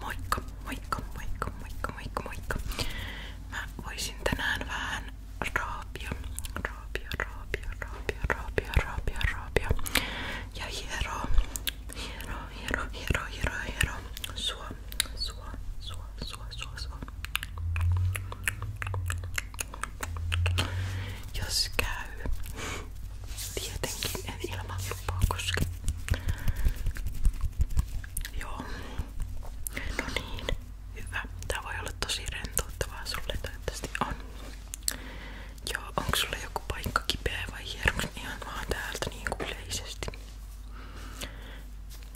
Moikka, moikka, moikka, moikka, moikka, moikka. Mä voisin tänään vähän raapia, raapia, raapia, raapia, raapia, raapia, raapia. Ja hieroa, hieroa, hieroa, hieroa, hieroa, hieroa. Sua, sua, sua, sua, sua, sua. Jos käy, tietenkin en ilman tupaa koske. Joo. No niin. Hyvä. Tää voi olla tosi rentouttavaa sulle toivottavasti on. Joo, onko sulla joku paikka kipeä vai hieronko ihan vaan täältä niinku yleisesti?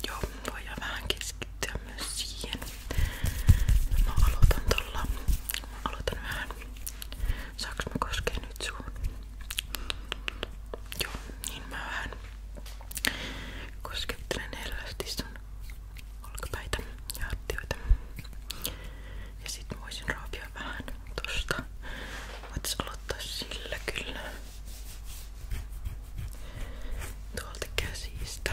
Joo, voidaan vähän keskittyä myös siihen. Mä aloitan tolla. Mä aloitan vähän. Saanko mä koskea nyt suun? Joo, niin mä vähän koskettelen hellästi sun olkapäitä ja hartioita. Ja sit voisin raapia vähän tosta. Voitais aloittaa sillä kyllä. Tuolta käsistä.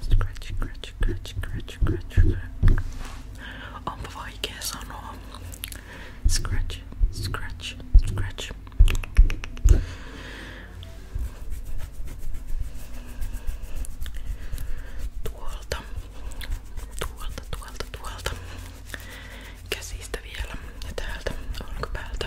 Scratch, scratch, scratch, scratch, scratch, scratch. On powołajkę sonu. Scratch, scratch, scratch. Tuolta, tuolta, tuolta, tuolta. Käsistä vielä ja täältä olkapäältä.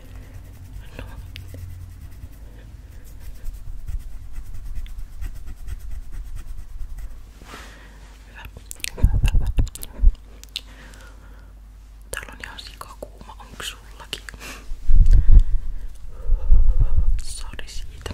No. Hyvä. Hyvä, hyvä, hyvä. Täällä on ihan sikakuuma, onks sullakin? Sori siitä.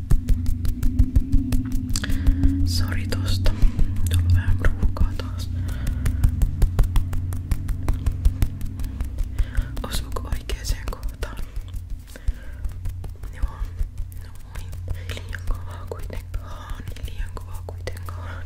Sori tosta. Tullut vähän ruuhkaa taas. Osuuko oikeeseen kohtaan? Joo. No moi. Niin. Liian kovaa kuitenkaan. Liian kovaa kuitenkaan.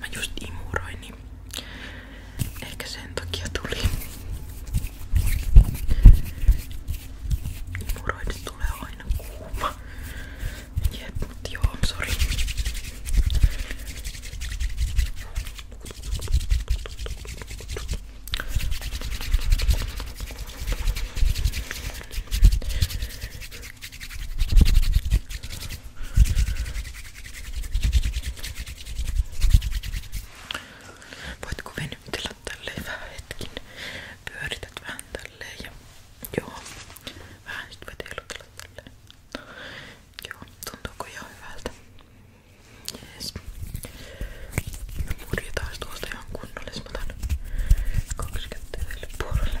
Mä just imuroin, niin ehkä sen takia tuli. Imuroidu tulee aina kuuma. Jep, mut joo, sori. Voitko venytellä tälleen vähän hetkin? Pyörität vähän tälleen ja joo. Vähän nyt vetelutella tälleen. Joo, tuntuuko ihan hyvältä? Jees. Mä murjetaan tuosta ihan kunnolla. Mä otan kaksi kättä puolelle.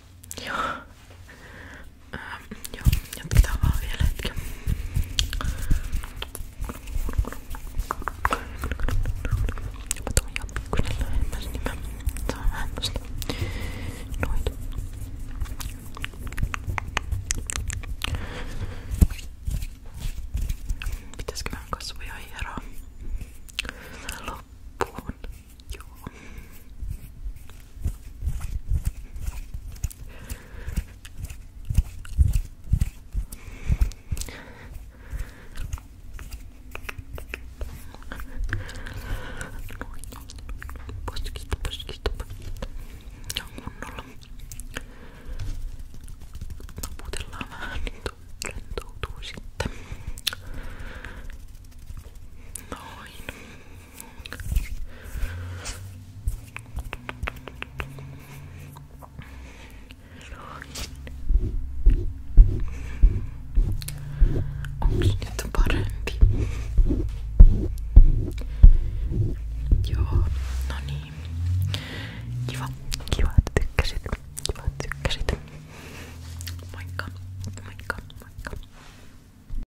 Joo. Ähm, joo, jatketaan vaan vielä hetken. Mä tuun jatkukselle lähemmäs, niin mä saan vähän tosta noita. Pitäisikö vähän kasvoja hieroa? Loppuun. Joo. Poskista, poskista, poskista. Ihan kunnolla. Naputellaan vähän, niin rentoutuu sitten. Noin. Onks nyt parempi? Joo, no niin. Kiva, kiva, että tykkäsit. Kiva, että tykkäsit. Moikka, moikka, moikka.